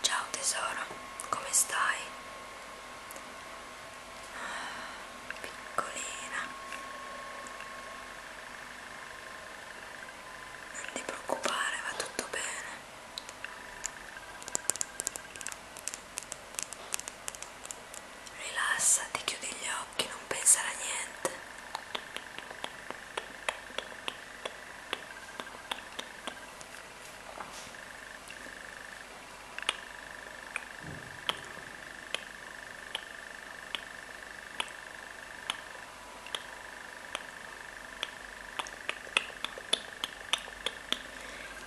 Ciao tesoro, come stai? Ah, piccolina. Non ti preoccupare, va tutto bene. Rilassati, chiudi gli occhi, non pensare a niente.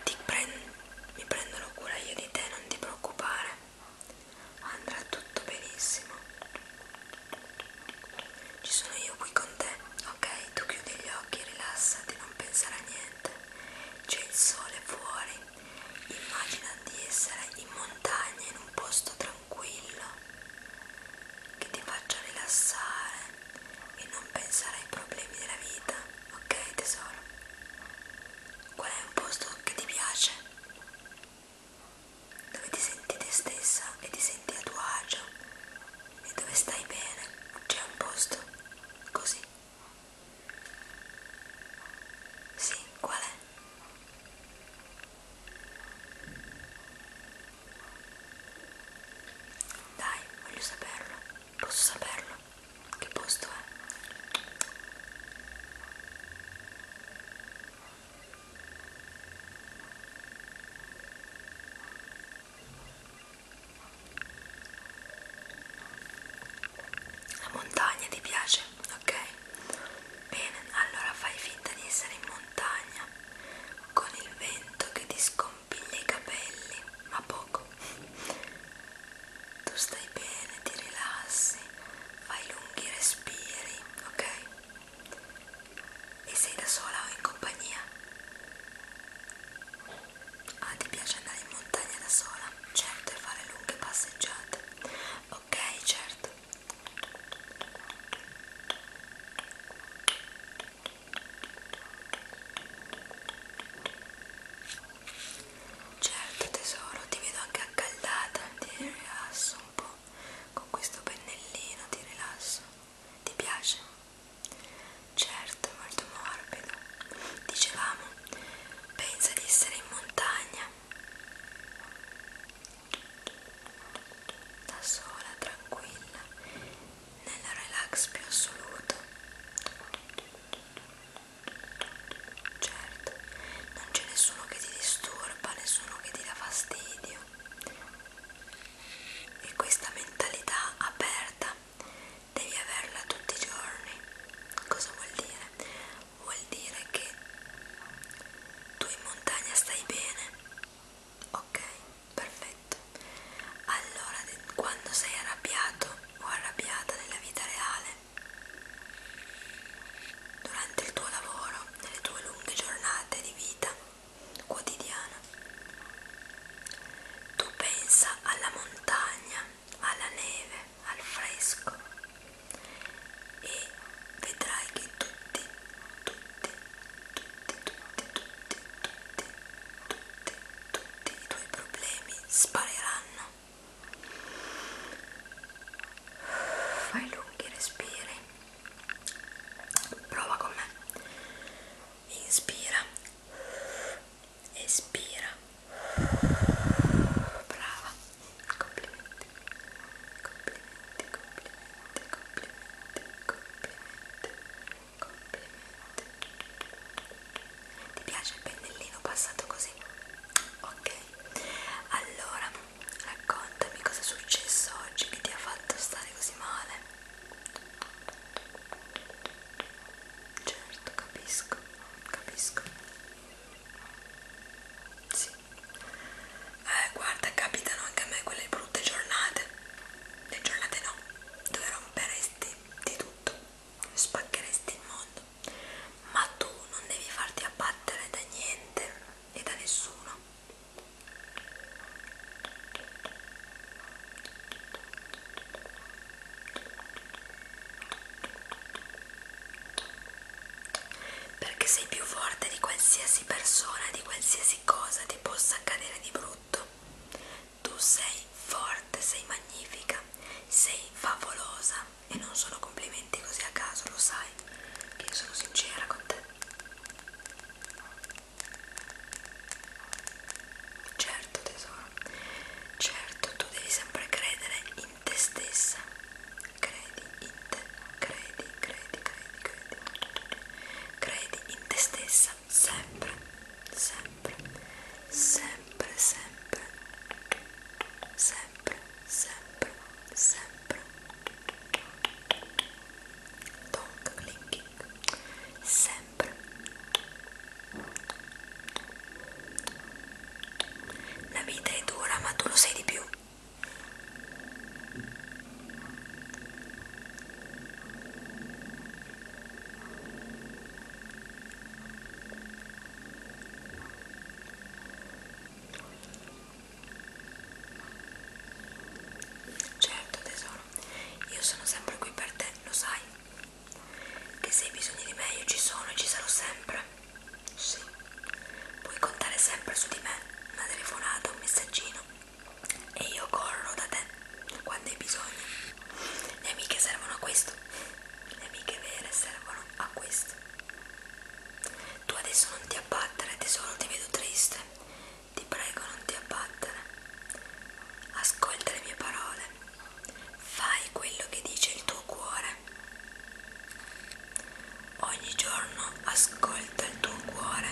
Ti prendo, mi prenderò cura io di te, non ti preoccupare. Andrà tutto benissimo. Ci sono io qui con te, ok? Tu chiudi gli occhi, rilassati, non pensare a niente. C'è il sole fuori. Immagina di essere in montagna, in un posto tranquillo, che ti faccia rilassare e non pensare ai problemi della vita, ok tesoro? Qual è un posto che ti piace? Dove ti senti te stessa e ti senti a tuo agio e dove stai bene c'è un posto così sì qual è dai voglio saperlo posso saperlo che posto è la montagna ti piace? Ok? Bene, allora fai finta di essere in montagna con il vento che ti scompiglia i capelli, ma poco. Tu stai bene, ti rilassi, fai lunghi respiri, ok? E sei da sola o in compagnia? Ah, ti piace andare in montagna da sola? Certo, e fare lunghe passeggiate. Ok, certo. Certo tesoro, ti vedo anche accaldata, ti rilasso un po', con questo pennellino ti rilasso. Ti piace? Certo, è molto morbido. Dicevamo, pensa di essere in montagna. Da sola, tranquilla, nel relax più assoluto. Certo, non c'è nessuno che ti disturba, nessuno che ti dà fastidio e questa mentalità aperta devi averla tutti i giorni. Cosa vuol dire? Vuol dire che tu in montagna stai bene, ok? Perfetto. Allora, quando sei arrabbiato o arrabbiata nella vita reale, durante il tuo lavoro, nelle tue lunghe giornate di vita, quotidiana. Tu pensa alla montagna, alla neve, al fresco e vedrai che tutti, tutti, tutti, tutti, tutti, tutti, tutti, tutti i tuoi problemi spariranno. Fai lunghi respiri prova con me inspira espira brava complimenti complimenti complimenti complimenti complimenti complimenti ti piace il pennellino passato così ok allora raccontami cosa è successo oggi che ti ha fatto stare così male Certo, capisco, capisco. Sì. Eh, guarda, capitano anche a me quelle brutte giornate. Le giornate no, dove romperesti di tutto, spaccheresti il mondo. Ma tu non devi farti abbattere da niente e da nessuno. Perché sei più forte di qualsiasi persona, di qualsiasi cosa ti possa accadere di brutto. Tu sei forte, sei magnifica, sei favolosa e non sono complimenti così a caso, lo sai, che io sono sincera con te. Certo tesoro, certo tu devi sempre credere in te stessa. Credi in te, credi, credi, credi, credi. Credi in te stessa sempre, sempre, sempre, sempre, sempre, sempre, sempre. sempre tongue clicking sempre la vita è dura ma tu lo sei di più Certo tesoro, io sono sempre qui per te, lo sai. Che se hai bisogno di me io ci sono e ci sarò sempre. Sì, puoi contare sempre su di me, una telefonata, un messaggino. E io corro da te quando hai bisogno. Le amiche servono a questo. Le amiche vere servono a questo. Tu adesso non ti abbattere, tesoro, ti vedo triste ti prego non ti abbattere. Ascolta le mie parole, fai quello che dice il tuo cuore. Ogni giorno ascolta il tuo cuore.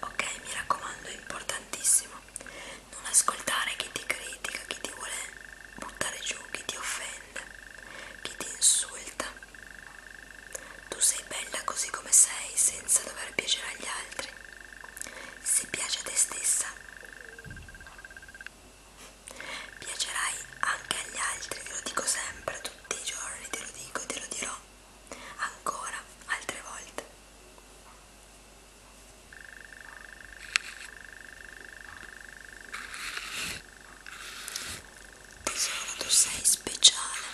Ok, mi raccomando, è importantissimo. Non ascoltare chi ti critica, chi ti vuole buttare giù, chi ti offende, chi ti insulta. Tu sei bella così come sei, senza dover piacere agli altri. Se piace a te stessa, piacerai anche agli altri, te lo dico sempre, tutti i giorni, te lo dico e te lo dirò ancora altre volte. Tesoro, tu sei speciale.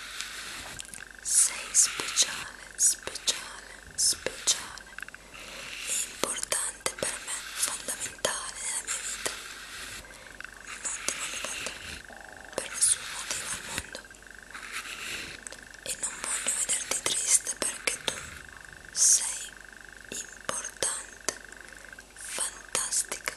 Sei speciale, speciale, speciale. È importante per me, fondamentale nella mia vita. Non ti voglio bene per nessun motivo al mondo. E non voglio vederti triste perché tu sei importante, fantastica,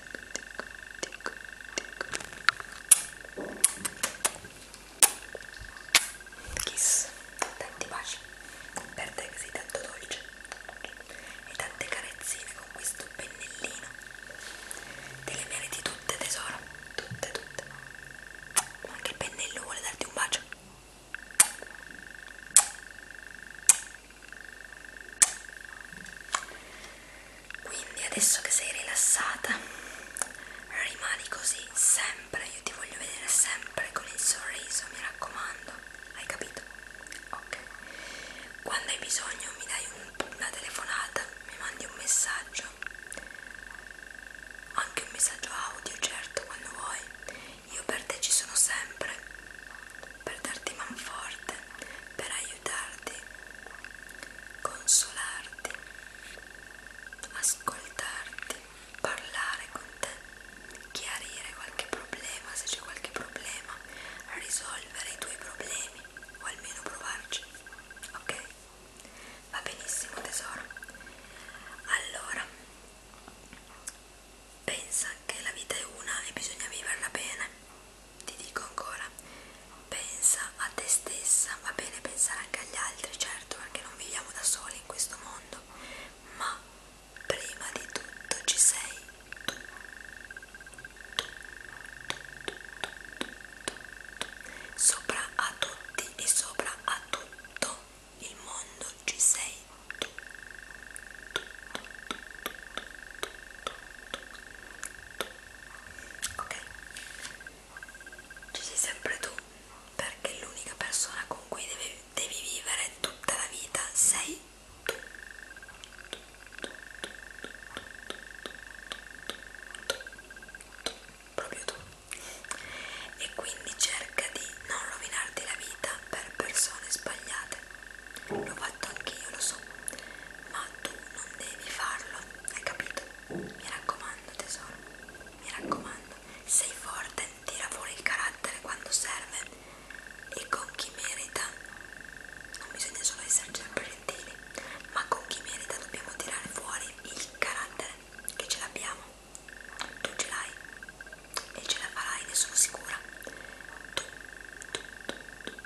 Kiss, tanti baci per te che sei tanto dolce e tante carezzine con questo pennellino. Te le meriti tutte tesoro, tutte tutte. Anche il pennello vuole darti un bacio quindi adesso che sei rilassata rimani così sempre io ti voglio vedere sempre con il sorriso mi raccomando hai capito ok quando hai bisogno mi dai un, una telefonata mi mandi un messaggio anche un messaggio audio certo quando vuoi io per te ci sono sempre per darti manforte per aiutarti, consolarti, ascoltarti, parlare con te, chiarire qualche problema se c'è qualche problema, risolvere i tuoi problemi o almeno provarci, ok? Va benissimo tesoro. Allora, pensa che la vita è una e bisogna viverla bene ti dico ancora, pensa a te stessa, va bene pensare anche agli altri, certo, perché non viviamo da soli in questo mondo, ma prima di tutto ci sei tu. tu, tu, tu, tu, tu, tu. Sopra a tutti e sopra a tutto il mondo ci sei tu. tu, tu, tu, tu, tu, tu, tu ok ci sei sempre tu perché l'unica persona con cui devi, devi vivere tutta la vita sei tu proprio tu e quindi cerca di non rovinarti la vita per persone sbagliate L'ho fatto anche io, lo so, ma tu non devi farlo, hai capito? Mi raccomando tesoro, mi raccomando, sei forte, tira fuori il carattere quando serve e con chi merita, non bisogna solo essere sempre gentili, ma con chi merita dobbiamo tirare fuori il carattere che ce l'abbiamo, tu ce l'hai e ce la farai, ne sono sicura. Tu, tu, tu, tu,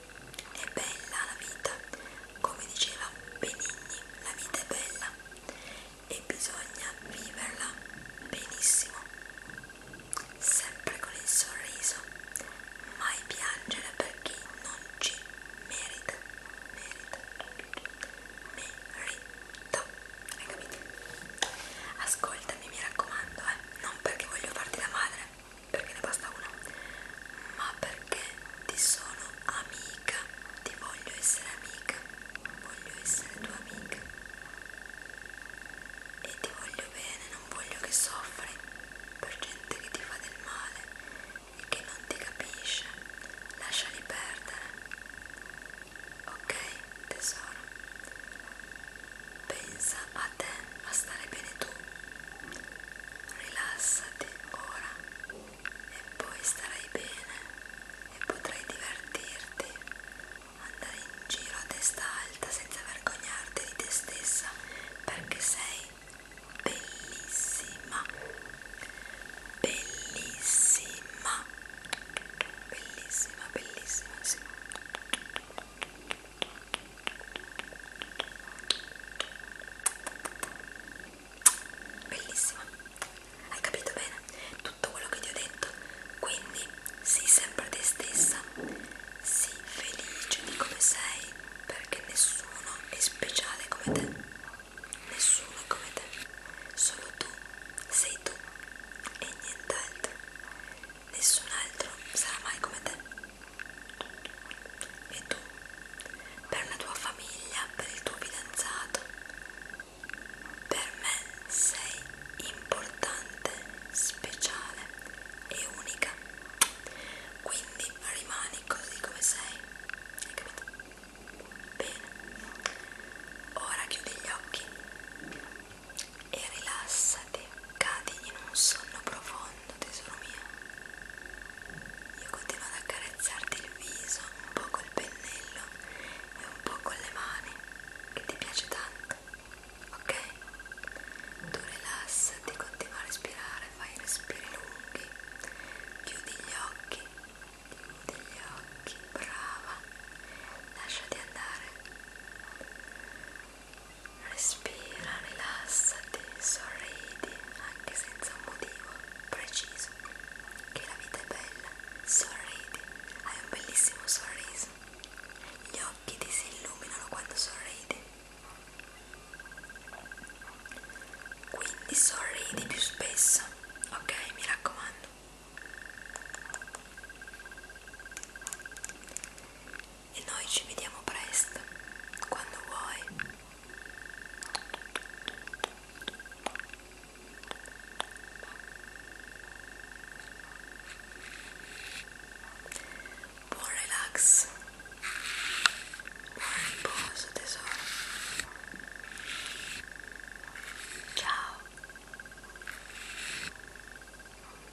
è bella la vita, come diceva Benigni, la vita è bella e bisogna viverla benissimo, sempre con il sorriso, mai piangere perché non ci merita, merita, merita, hai capito? Ascoltami mi raccomando, eh, non perché voglio farti da madre perché ne basta una ma perché ti sono amica ti voglio essere amica voglio essere tua amica e ti voglio bene non voglio che soffri per gente che ti fa del male e che non ti capisce lasciali perdere ok tesoro pensa a a te, a stare bene tu. Rilassati ora e poi starai bene e potrai divertirti, andare in giro a testa alta senza vergognarti di te stessa perché sei bellissima, bellissima, bellissima, bellissima. Sì. Bellissima, hai capito bene tutto quello che ti ho detto? Quindi sii sempre te stessa, sii felice di come sei perché nessuno è speciale come te, nessuno è come te, solo tu sei tu e nient'altro, nessun altro sarà mai come te. E tu, per la tua famiglia, per il tuo fidanzato, per me sei importante, speciale e unica. Quindi rimani così come sei. Hai capito? Bene. Ora chiudi gli occhi e rilassati, cadi in un sonno profondo profondo, tesoro mio. Io continuo ad accarezzarti il viso, un po' col pennello e un po' con le mani, che ti piace tanto, ok? Tu rilassati, continua a respirare, fai respiri lunghi, chiudi gli occhi, chiudi gli occhi, brava, lasciati andare. Respira, rilassati, sorridi anche senza un motivo preciso. Che la vita è bella, sorridi, hai un bellissimo sorriso. Gli occhi ti si illuminano quando sorridi. Quindi sorridi più spesso, ok? Mi raccomando e noi ci vediamo presto, quando vuoi. Buon relax, buon riposo tesoro. Ciao.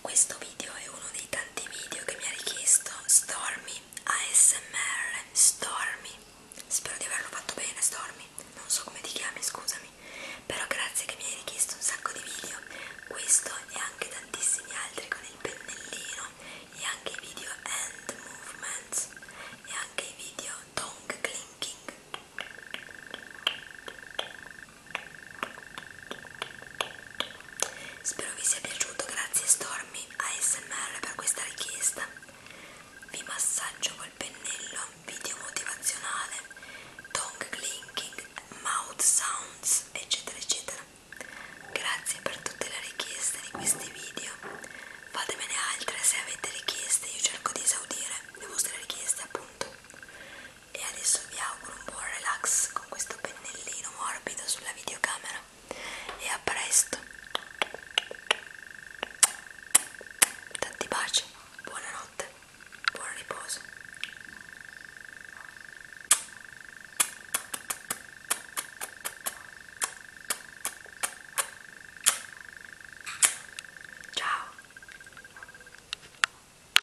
Questo video è uno dei tanti video che mi ha richiesto Stormy ASMR Stormy. Spero di averlo fatto bene, Stormy. Non so come ti chiami, scusami. Però grazie che mi hai richiesto un sacco di video. Questo e anche tantissimi altri con il pennellino e anche i video hand movements e anche i video tongue clinking Spero vi sia piaciuto, grazie Stormy ASMR per questa richiesta. Vi massaggio col pennello, video motivazionale, tongue clinking, mouth sounds, eccetera eccetera. Grazie per tutte le richieste di questi video. Fatemene altre se avete richieste, io cerco di esaudire le vostre richieste appunto e adesso vi auguro un buon relax con questo pennellino morbido sulla videocamera e a presto tanti baci buonanotte buon riposo ciao